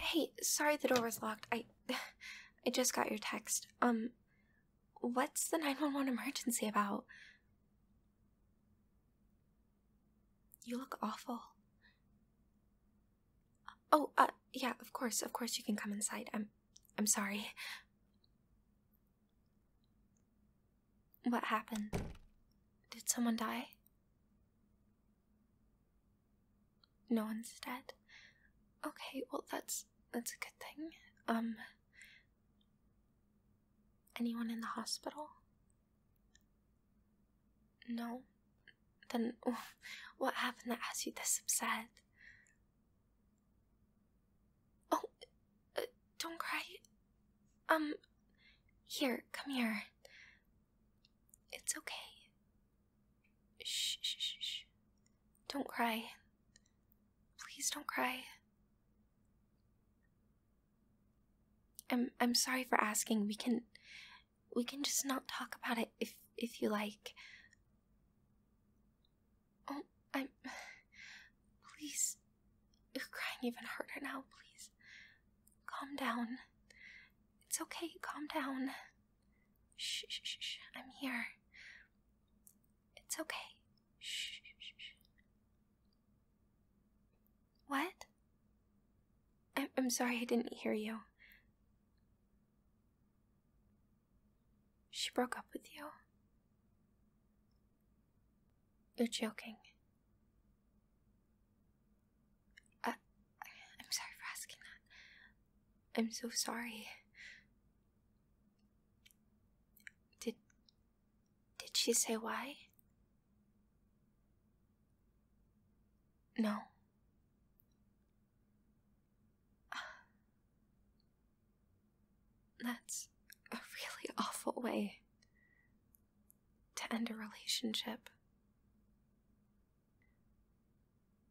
Hey, sorry the door was locked. I I just got your text. Um what's the 911 emergency about? You look awful. Oh, uh yeah, of course. Of course you can come inside. I'm I'm sorry. What happened? Did someone die? No one's dead. Okay, well that's that's a good thing. Um anyone in the hospital? No. Then what happened that has you this upset? Oh, uh, don't cry. Um, here, come here. It's okay. Shh, shh, shh, Don't cry. Please don't cry. I'm I'm sorry for asking. We can we can just not talk about it if if you like. Oh, I'm please you're crying even harder now, please. Calm down. It's okay, calm down. Shh, shh, shh, I'm here. It's okay. Shh, shh, shh. What? I I'm sorry I didn't hear you. She broke up with you. You're joking. I, I'm sorry for asking that. I'm so sorry. Did did she say why? No. That's a really awful way to end a relationship.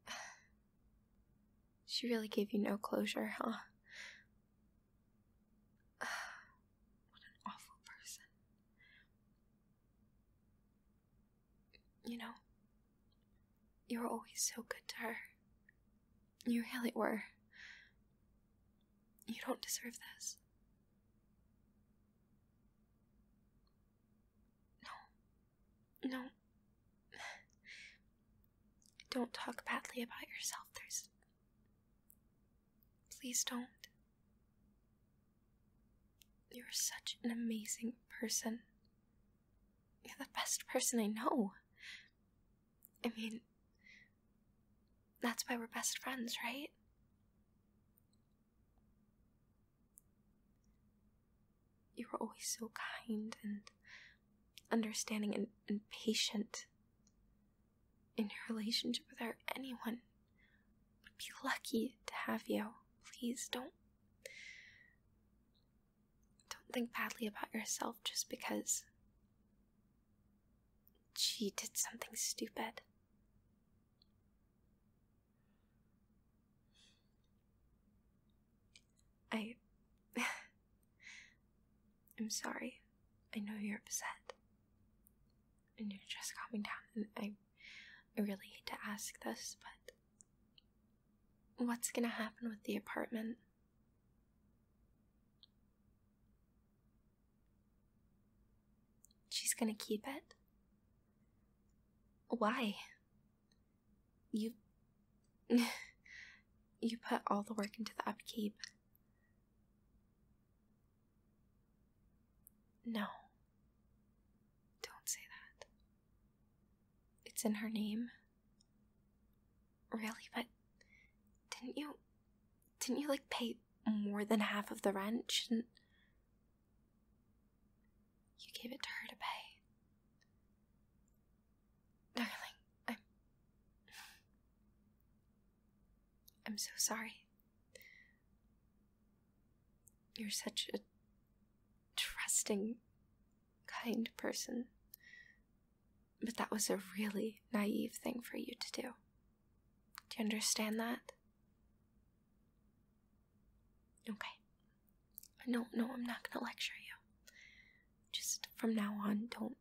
She really gave you no closure, huh? What an awful person. You know, you were always so good to her. You really were. You don't deserve this. No. No. Don't talk badly about yourself. There's. Please don't. You're such an amazing person. You're the best person I know. I mean, that's why we're best friends, right? You were always so kind and understanding and, patient. In your relationship with her, anyone would be lucky to have you. Please don't don't think badly about yourself just because she did something stupid. I. I'm sorry. I know you're upset. And you're just calming down. And I, I really hate to ask this, but. What's gonna happen with the apartment? She's gonna keep it? Why? You. you put all the work into the upkeep. No. Don't say that. It's in her name. Really, but didn't you didn't you like pay more than half of the rent should You gave it to her to pay. Darling, I'm. I'm so sorry. You're such a trusting, kind person. But that was a really naive thing for you to do. Do you understand that? Okay. No, no, I'm not gonna lecture you. Just from now on, don't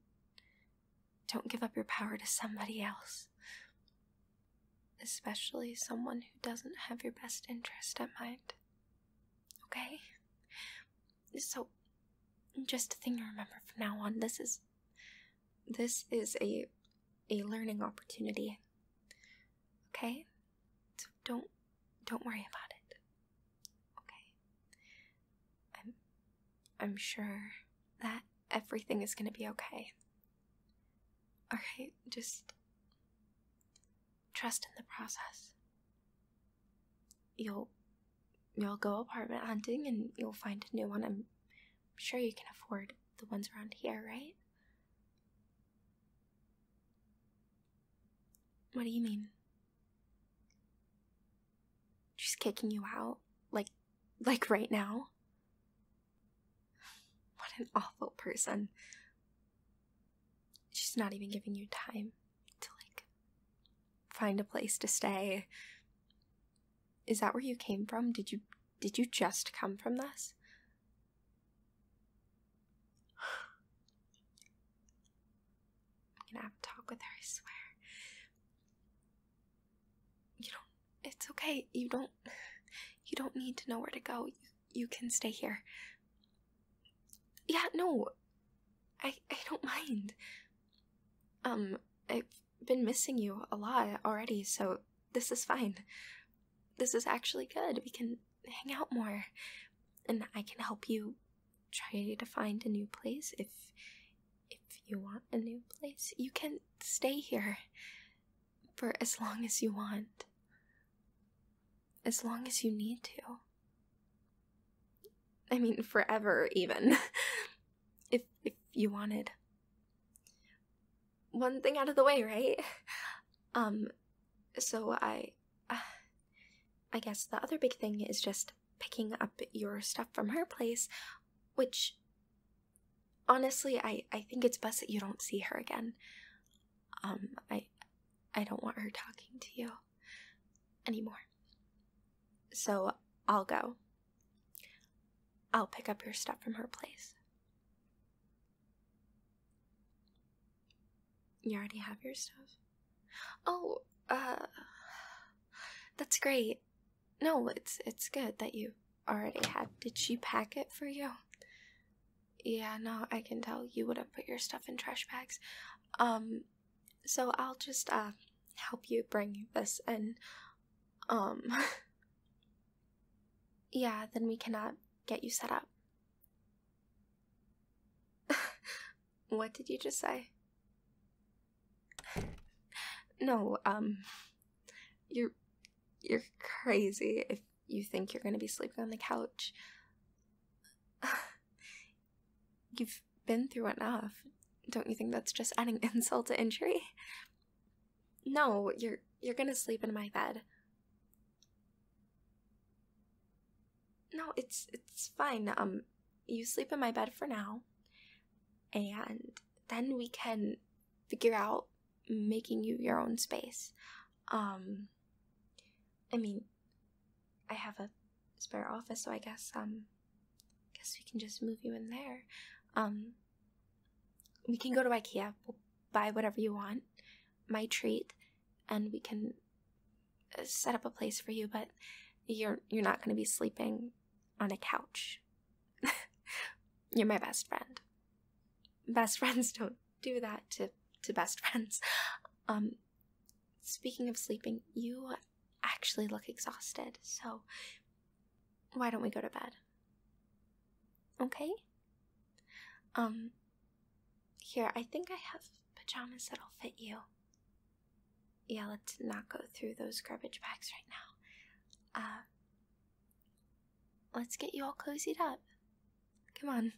don't give up your power to somebody else. Especially someone who doesn't have your best interest at mind. Okay? So just a thing to remember from now on, this is this is a a learning opportunity. Okay? So don't don't worry about it. Okay. I'm I'm sure that everything is going to be okay. All right, just trust in the process. You'll you'll go apartment hunting and you'll find a new one. i sure you can afford the ones around here, right? What do you mean? She's kicking you out? Like, like right now? What an awful person. She's not even giving you time to, like, find a place to stay. Is that where you came from? Did you did you just come from this? I'm gonna have a talk with her, I swear. You don't it's okay. You don't you don't need to know where to go. You, you can stay here. Yeah, no. I I don't mind. Um, I been missing you a lot already, so this is fine. This is actually good. We can hang out more. And I can help you try to find a new place if if you want a new place. You can stay here for as long as you want. As long as you need to. I mean, forever, even. If if you wanted. One thing out of the way, right? Um so I I guess the other big thing is just picking up your stuff from her place, which honestly I I think it's best that you don't see her again. Um I I don't want her talking to you anymore. So I'll go. I'll pick up your stuff from her place. You already have your stuff? Oh, uh That's great. No, it's it's good that you already had. Did she pack it for you? Yeah, no, I can tell you would have put your stuff in trash bags. Um so I'll just uh help you bring this in. Um. yeah, then we cannot get you set up. what did you just say? no, um. You're. You're crazy if you think you're gonna be sleeping on the couch. You've been through enough. Don't you think that's just adding insult to injury? No, you're you're gonna sleep in my bed. No, it's it's fine. Um you sleep in my bed for now and then we can figure out making you your own space. Um I mean I have a spare office so I guess um guess we can just move you in there. Um, we can go to IKEA. buy whatever you want. My treat, and we can uh, set up a place for you. But you're you're not going to be sleeping on a couch. you're my best friend. Best friends don't do that to to best friends. Um, speaking of sleeping, you actually look exhausted, so why don't we go to bed? Okay? Um, here, I think I have pajamas that'll fit you. Yeah, let's not go through those garbage bags right now. Uh, let's get you all cozied up. Come on.